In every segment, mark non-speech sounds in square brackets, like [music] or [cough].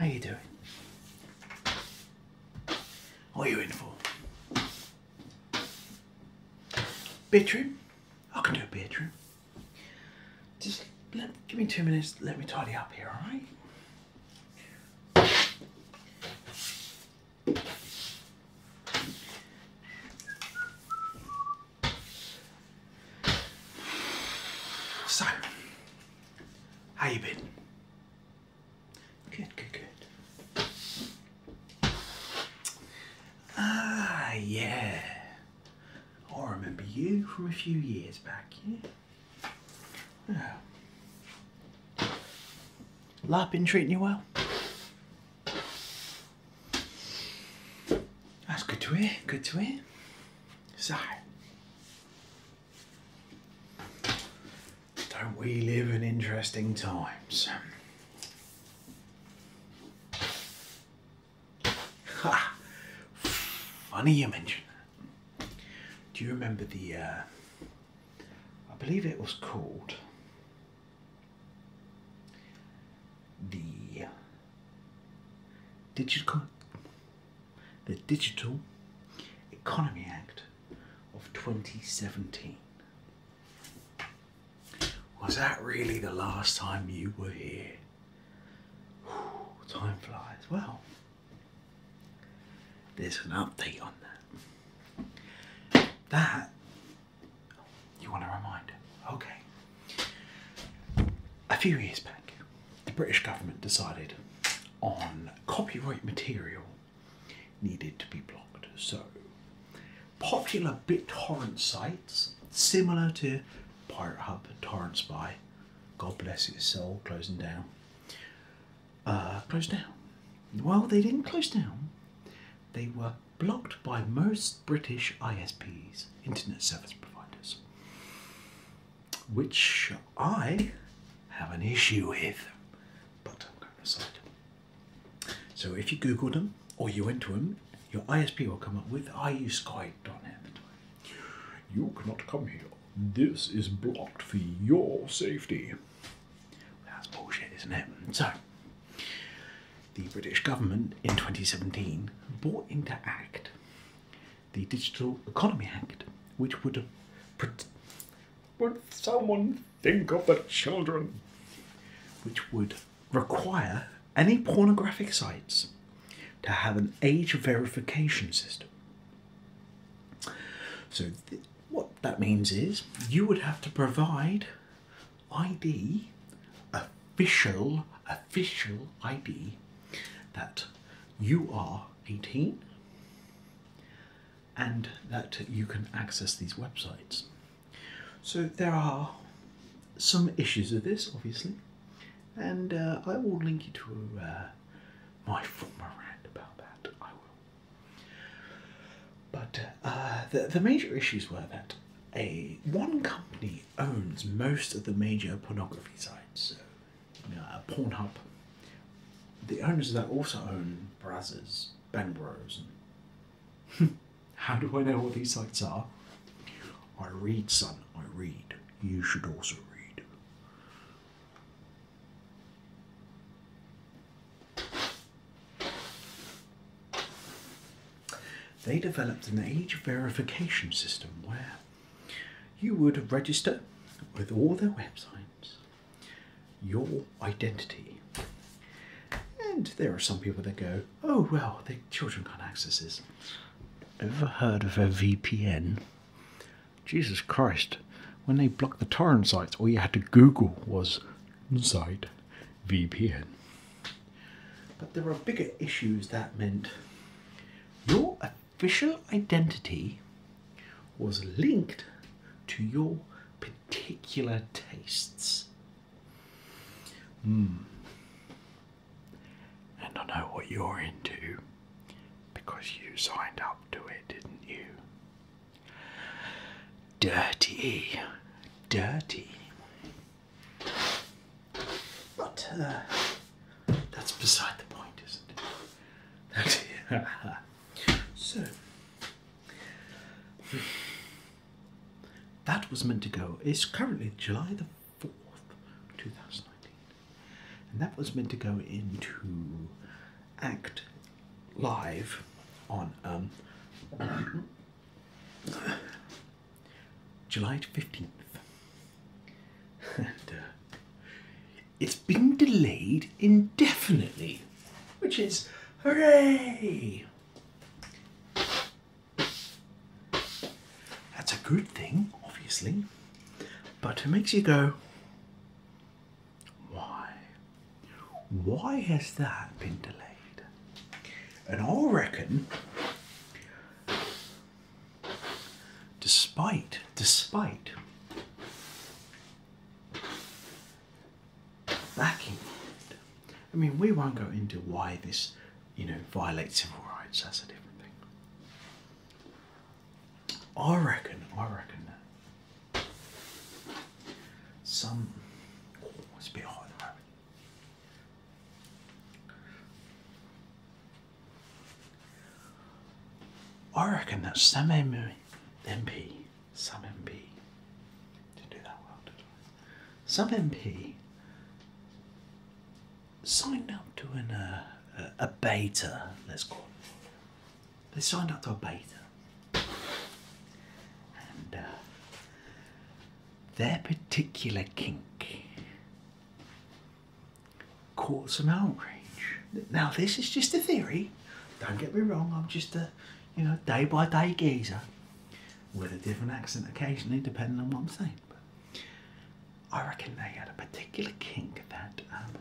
mate. How you doing? What are you in for? Bedroom? I can do a bedroom. Just give me two minutes, let me tidy up here, alright? So, how you been? Good, good, good. Ah, yeah. I remember you from a few years back, yeah? Larpin' treating you well? That's good to hear, good to hear. So, don't we live in interesting times? Ha! Funny you mention that. Do you remember the, uh, I believe it was called the digital the Digital Economy Act of 2017. Was that really the last time you were here? time flies. Well, there's an update on that. That, you want to remind? Okay. A few years back, the British government decided on copyright material needed to be blocked. So, popular BitTorrent sites, similar to PirateHub Hub and Torrent God bless its soul, closing down, uh, closed down. Well, they didn't close down. They were blocked by most British ISPs, internet service providers which I have an issue with, but I'm going to side. So if you Google them or you went to them, your ISP will come up with, I use Sky Sky.net. You cannot come here. This is blocked for your safety. That's bullshit, isn't it? So, the British government in 2017 brought into act the Digital Economy Act, which would. Would someone think of the children? Which would require any pornographic sites to have an age verification system. So, what that means is you would have to provide ID official, official ID that you are 18 and that you can access these websites. So there are some issues with this, obviously, and uh, I will link you to uh, my former rant about that. I will. But uh, the, the major issues were that a one company owns most of the major pornography sites. So, you know, uh, Pornhub. The owners of that also own Brazzers, Ben Bros. [laughs] How do I know what these sites are? I read, son, I read. You should also read they developed an age verification system where you would register with all their websites your identity. And there are some people that go, oh, well, the children can't access this. Ever heard of a VPN? Jesus Christ, when they blocked the torrent sites, all you had to Google was site VPN. But there are bigger issues that meant your official identity was linked to your particular tastes. Hmm. And I know what you're into because you signed up to it, didn't you? Dirty. Dirty. But uh, that's beside the point, isn't it? [laughs] so, that was meant to go. It's currently July the 4th, 2019. And that was meant to go into Act Live on. Um, July 15th. Uh, it's been delayed indefinitely, which is hooray! That's a good thing, obviously, but it makes you go, why? Why has that been delayed? And I reckon, despite, despite backing I mean, we won't go into why this, you know, violates civil rights, that's a different thing. I reckon, I reckon that some, oh, it's a bit hot at the moment. Oregon at some MP, some MP, didn't do that well, Some MP signed up to an, uh, a beta, let's call it. They signed up to a beta uh, their particular kink caught some outrage. Now, this is just a theory. Don't get me wrong, I'm just a, you know, day by day geezer with a different accent occasionally, depending on what I'm saying. But I reckon they had a particular kink that um,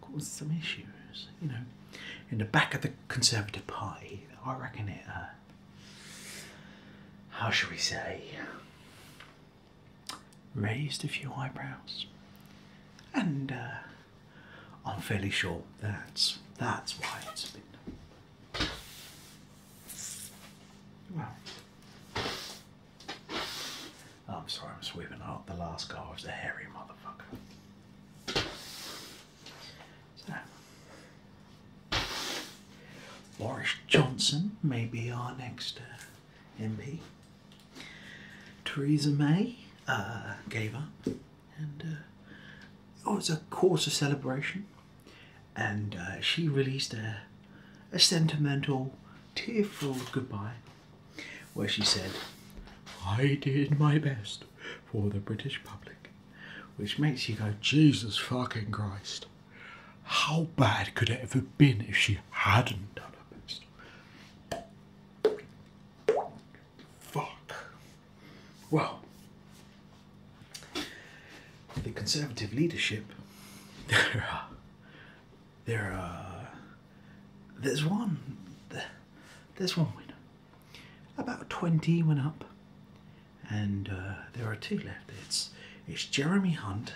caused some issues, you know. In the back of the Conservative Party, I reckon it, uh, how shall we say, raised a few eyebrows. And uh, I'm fairly sure that's, that's why it's been Well, I'm sorry, I'm sweeping out. The last guy was a hairy motherfucker. Boris Johnson may be our next uh, MP. Theresa May uh, gave up, and uh, it was a cause of celebration. And uh, she released a, a sentimental, tearful goodbye where she said, I did my best for the British public, which makes you go, Jesus fucking Christ, how bad could it have have been if she hadn't done her best? Fuck. Well, the Conservative leadership, there [laughs] are there are. Uh, there's one. There's one winner. About 20 went up, and uh, there are two left. It's it's Jeremy Hunt.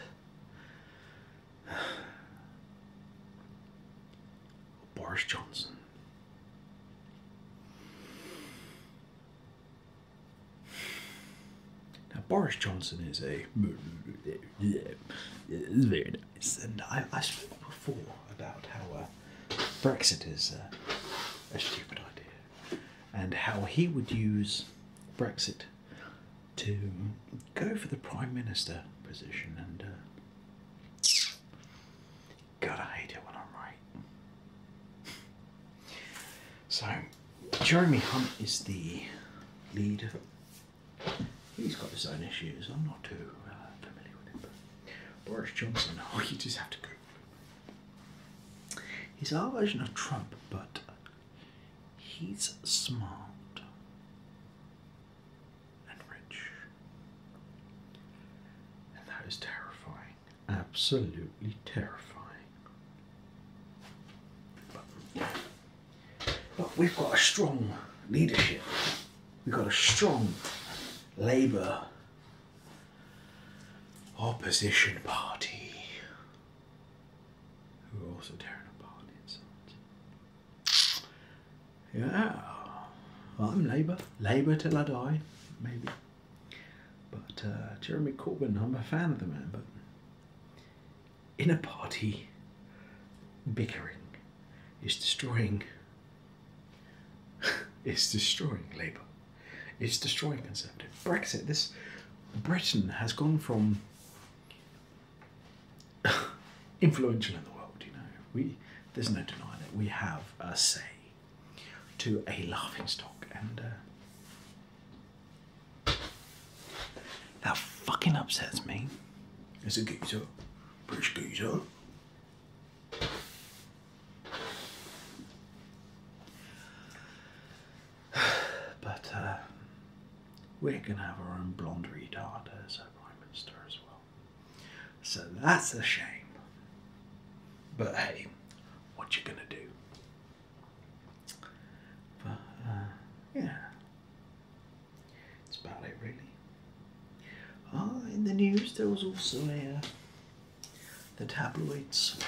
Boris Johnson. Now, Boris Johnson is a. It's very and I, I spoke before about how uh, Brexit is uh, a stupid idea, and how he would use Brexit to go for the prime minister position. And uh, God, I hate it when I'm right. So Jeremy Hunt is the leader. He's got his own issues. I'm not too uh, familiar with him. But Boris Johnson, oh, [laughs] you just have to go. He's our version of Trump, but he's smart and rich. And that is terrifying. Absolutely terrifying. But we've got a strong leadership. We've got a strong Labour opposition party who are also tearing apart inside. Yeah, I'm Labour. Labour till I die, maybe. But uh, Jeremy Corbyn, I'm a fan of the man, but inner party bickering is destroying it's [laughs] destroying Labour. It's destroying Conservative. Brexit, this Britain has gone from [laughs] influential in the world, you know. We there's no denying it. We have a say to a laughing stock and uh, that fucking upsets me. It's a geezer. British geezer. [sighs] but uh, we're gonna have our own blondie retard as prime minister as well. So that's a shame. But hey, what you gonna do? But uh, yeah, it's about it, really. Uh, in the news, there was also uh, the tabloids,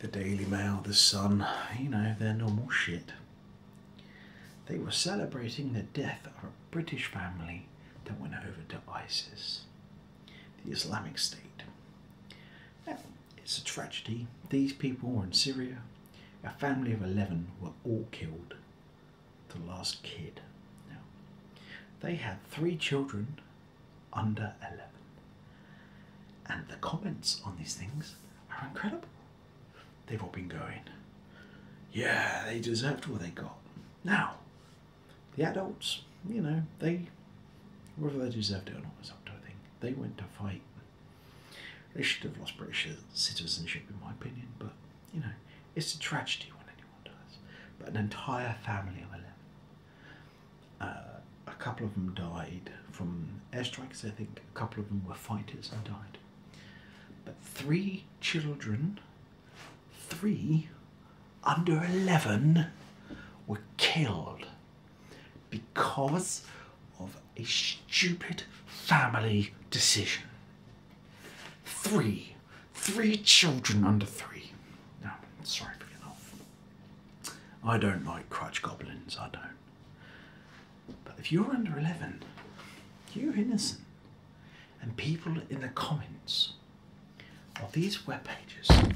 the Daily Mail, the Sun, you know, their normal shit. They were celebrating the death of a British family that went over to ISIS, the Islamic State. It's a tragedy. These people were in Syria. A family of 11 were all killed. The last kid. Now, they had three children under 11. And the comments on these things are incredible. They've all been going, yeah, they deserved what they got. Now, the adults, you know, they, whether they deserved it or not, was up to a thing. They went to fight they should have lost British citizenship, in my opinion, but you know, it's a tragedy when anyone dies. But an entire family of 11. Uh, a couple of them died from airstrikes, I think. A couple of them were fighters and died. But three children, three under 11, were killed because of a stupid family decision. Three. Three children under three. No, sorry for getting off. I don't like crutch goblins, I don't. But if you're under 11, you're innocent. And people in the comments of these web pages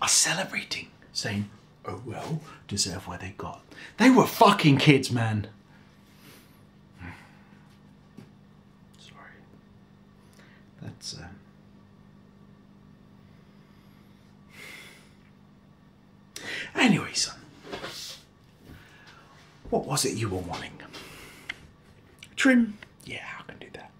are celebrating, saying, oh well, deserve where they got. They were fucking kids, man. [sighs] Sorry. That's, um, Anyway, son. What was it you were wanting? Trim? Yeah, I can do that.